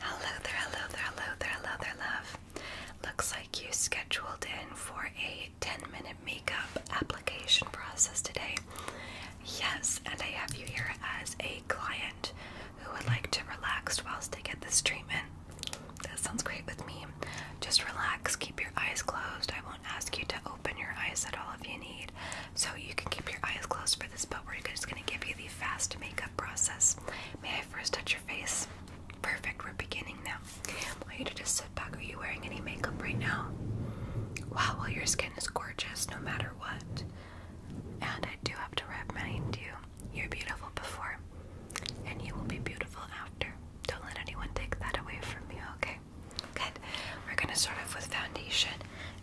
Hello there, hello there, hello there, hello there, love. Looks like you scheduled in for a 10 minute makeup application process today. Yes, and I have you here as a client who would like to relax whilst they get this treatment. That sounds great with me. Just relax, keep your eyes closed. I won't ask you to open your eyes at all if you need. So you can keep your eyes closed this, but we're just going to give you the fast makeup process. May I first touch your face? Perfect, we're beginning now. I want you to just sit back. Are you wearing any makeup right now? Wow, well, your skin is gorgeous no matter what. And I do have to remind you, you're beautiful before, and you will be beautiful after. Don't let anyone take that away from you, okay? Good. We're gonna start off with foundation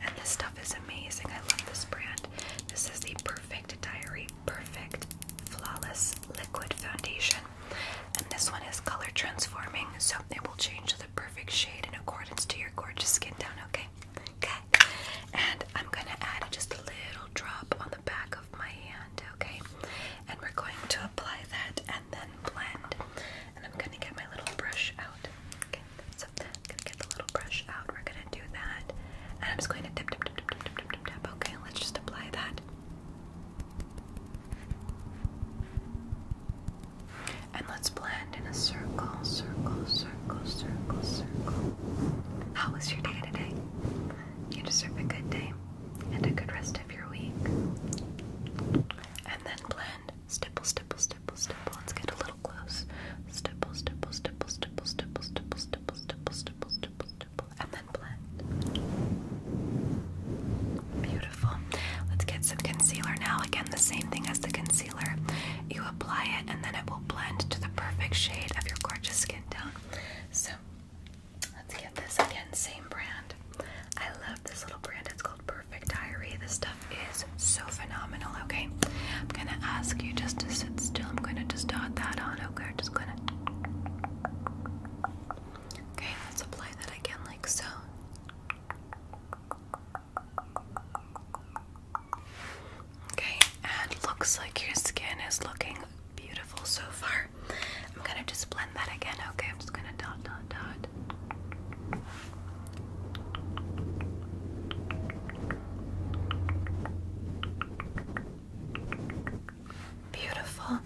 and this stuff is amazing. I love this brand. This is the Perfect Diary Perfect Flawless Liquid Foundation, and this one is color transforming, so it will change to the perfect shade in accordance to your gorgeous skin tone. Okay, good. And I'm gonna add just a little drop on the back of my hand. Okay, and we're going to apply that and then blend. And I'm gonna get my little brush out. Okay. So then gonna get the little brush out. We're gonna do that. And I'm just going to dip dip dip dip dip dip dip dip. Okay, let's just apply that. And let's blend in a circle, circle, circle, circle, circle. How was your day today? You deserve a good day and a good rest of your week. And then blend and stipple, stipple, stipple, stipple. Let's get a little close. Stipple, stipple, stipple, stipple, stipple, stipple, stipple, stipple, stipple, stipple, stipple, and then blend. Beautiful. Let's get some concealer now. Again, the same thing as the concealer. You apply it, and then it will blend to the perfect shade of your gorgeous skin tone. So, let's get this again. Same brand. I love this little brand. It's called. Burberry perfect diary. This stuff is so phenomenal, okay? I'm gonna ask you just to sit still. I'm gonna just dot that on, okay? I'm Just gonna. Okay, let's apply that again, like so. Okay, and looks like your skin is looking beautiful so far. I'm gonna just blend that again, okay? I'm just gonna dot, dot, dot. Beautiful.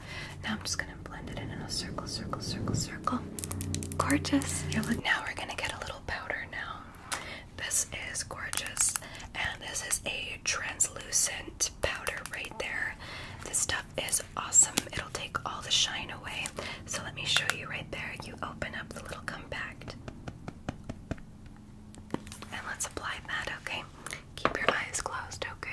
Now I'm just gonna blend it in in a circle, circle, circle, circle. Gorgeous. look now we're gonna get a little powder now. This is gorgeous, and this is a translucent powder right there. This stuff is awesome. It'll take all the shine away. So let me show you right there. You open up the little compact. And let's apply that, okay? Keep your eyes closed, okay?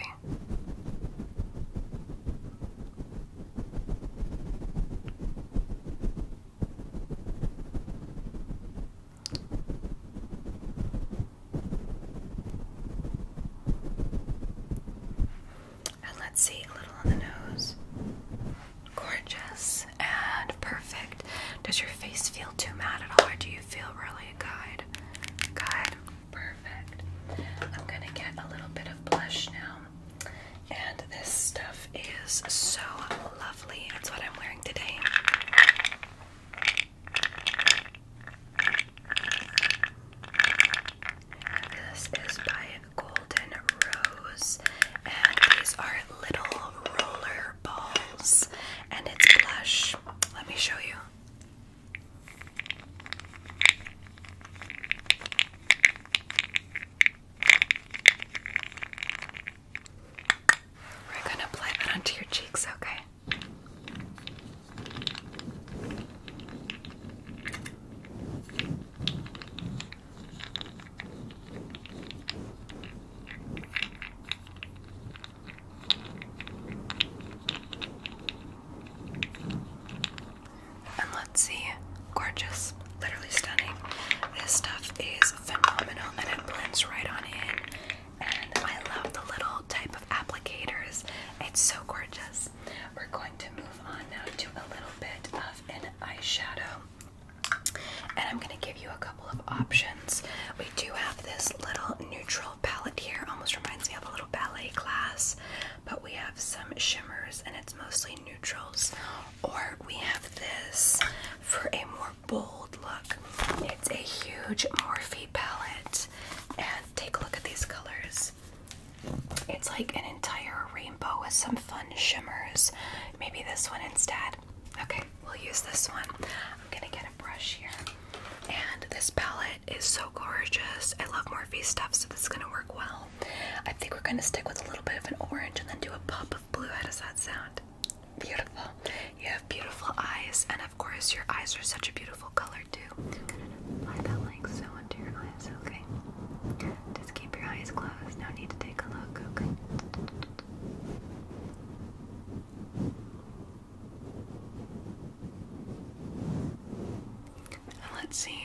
And let's see, a little on the nose. Gorgeous and perfect. Does your face feel too matte at all, or do you feel really good? guide? perfect. I'm gonna get a little bit of blush now. And this stuff is so lovely. It's what I'm wearing today. This is by Golden Rose, and these are little roller balls, and it's blush. Let me show you. We're gonna apply that onto your cheeks, okay? And let's see, gorgeous, literally stunning. This stuff is phenomenal and it blends right on in. And I love the little type of applicators, it's so gorgeous. We're going to move on now to a little bit of an eyeshadow. And I'm going to give you a couple of options. We do have this little neutral palette here, almost reminds me of a little ballet class, but we have some shimmers and it's mostly neutrals. Or we have this for a more bold look. It's a huge Morphe palette, and take a look at these colors. It's like an entire rainbow with some fun shimmers. Maybe this one instead. Okay, we'll use this one. I'm gonna get a brush here. And this palette is so gorgeous. I love Morphe stuff, so this is gonna work well. I think we're gonna stick with a little bit of an orange and then do a pop of blue. How does that sound? Beautiful. You have beautiful eyes, and of course, your eyes are such a beautiful color to apply that like so onto your eyes, okay? Just keep your eyes closed, no need to take a look, okay? And let's see.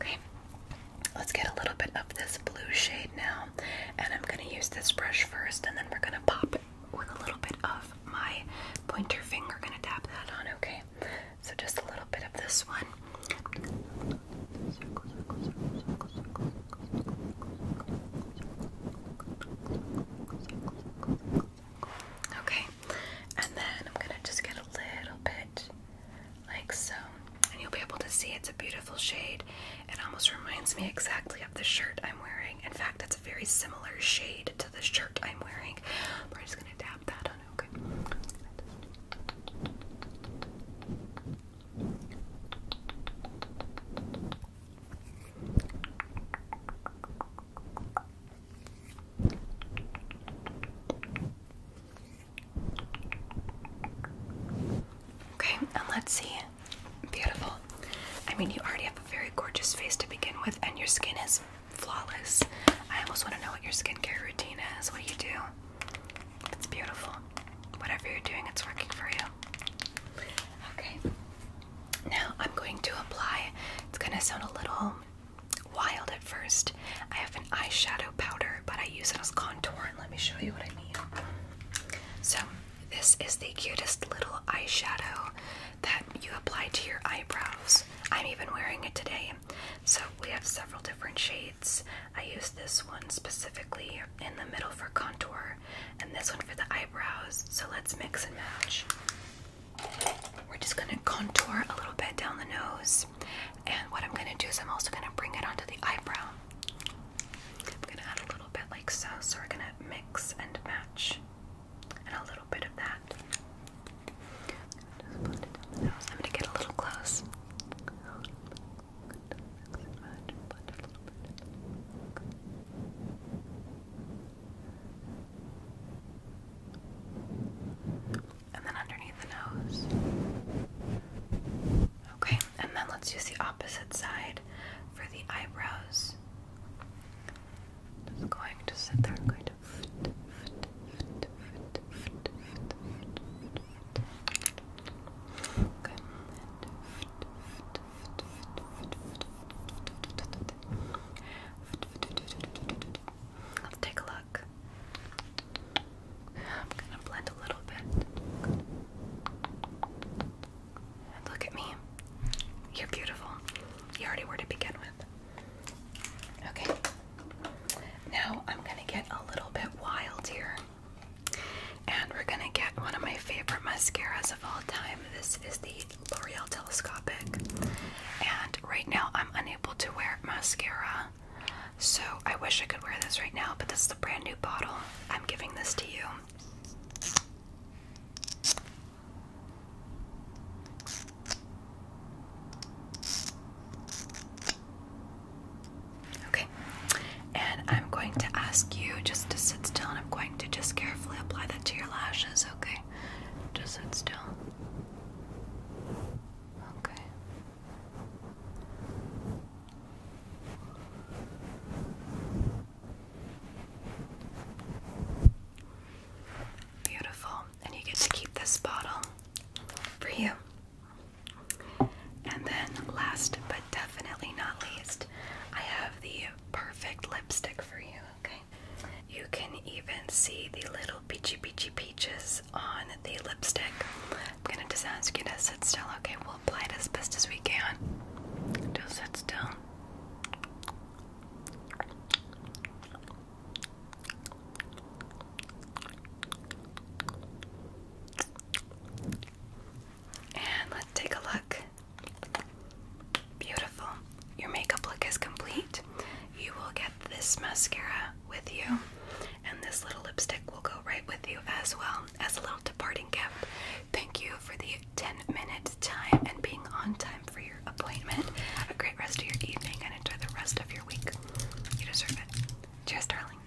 Okay, let's get a little bit of this blue shade now, and I'm gonna use this brush first, and then we're gonna pop it with a little bit of my pointer finger. Gonna tap that on, okay? So just a little bit of this one. Okay, and then I'm gonna just get a little bit like so, and you'll be able to see it's a beautiful shade. It almost reminds me exactly of the shirt I'm wearing. In fact, it's a very similar shade to the shirt I'm wearing. We're just gonna dab that on, Okay, and let's see. Beautiful. I mean, you already have a very gorgeous face to begin with, and your skin is flawless. I almost want to know what your skincare routine is. What do you do? It's beautiful. Whatever you're doing, it's working for you. Okay. Now I'm going to apply. It's going to sound a little wild at first. I have an eyeshadow powder, but I use it as contour, and let me show you what I mean. So, this is the cutest little eyeshadow that you apply to your eyebrows. I'm even wearing it today. So, we have several different shades. I use this one specifically in the middle for contour and this one for the eyebrows. So let's mix and match. We're just going to contour a little bit down the nose. And what I'm going to do is I'm also going to bring it onto the eyebrow. I'm going to add a little bit like so. So we're going to mix and match. And a little bit of that. I'm going to get a little close. And then underneath the nose. Okay, and then let's use the opposite side for the eyebrows. Just going to sit there. I'm going to. Let's take a look. I'm gonna blend a little bit. Look at me. You're beautiful. You already were to begin with. Okay. Now I'm gonna get a little bit wild here. And we're gonna get one of my favorite mascaras of all time. This is the L'Oreal Telescopic. And right now I'm unable to wear mascara. So I wish I could wear this right now, but this is a brand new bottle. I'm giving this to you. Okay, and I'm going to ask you just to sit still, and I'm going to just carefully apply that to your lashes, okay? Just sit still. Okay. Beautiful. And you get to keep this bottle for you. And then, last but definitely not least, I have the perfect lipstick for you, okay? You can even see the little peachy peachy peaches on the lipstick. I'm gonna just ask you to sit still, okay? We'll apply it as best as we can. Just sit still. And let's take a look. Beautiful. Your makeup look is complete. You will get this mascara with you, and this little lipstick will go right with you as well as a little departing gift. Thank you for the 10 minute time and being on time for your appointment. Have a great rest of your evening and enjoy the rest of your week. You deserve it. Cheers, darling.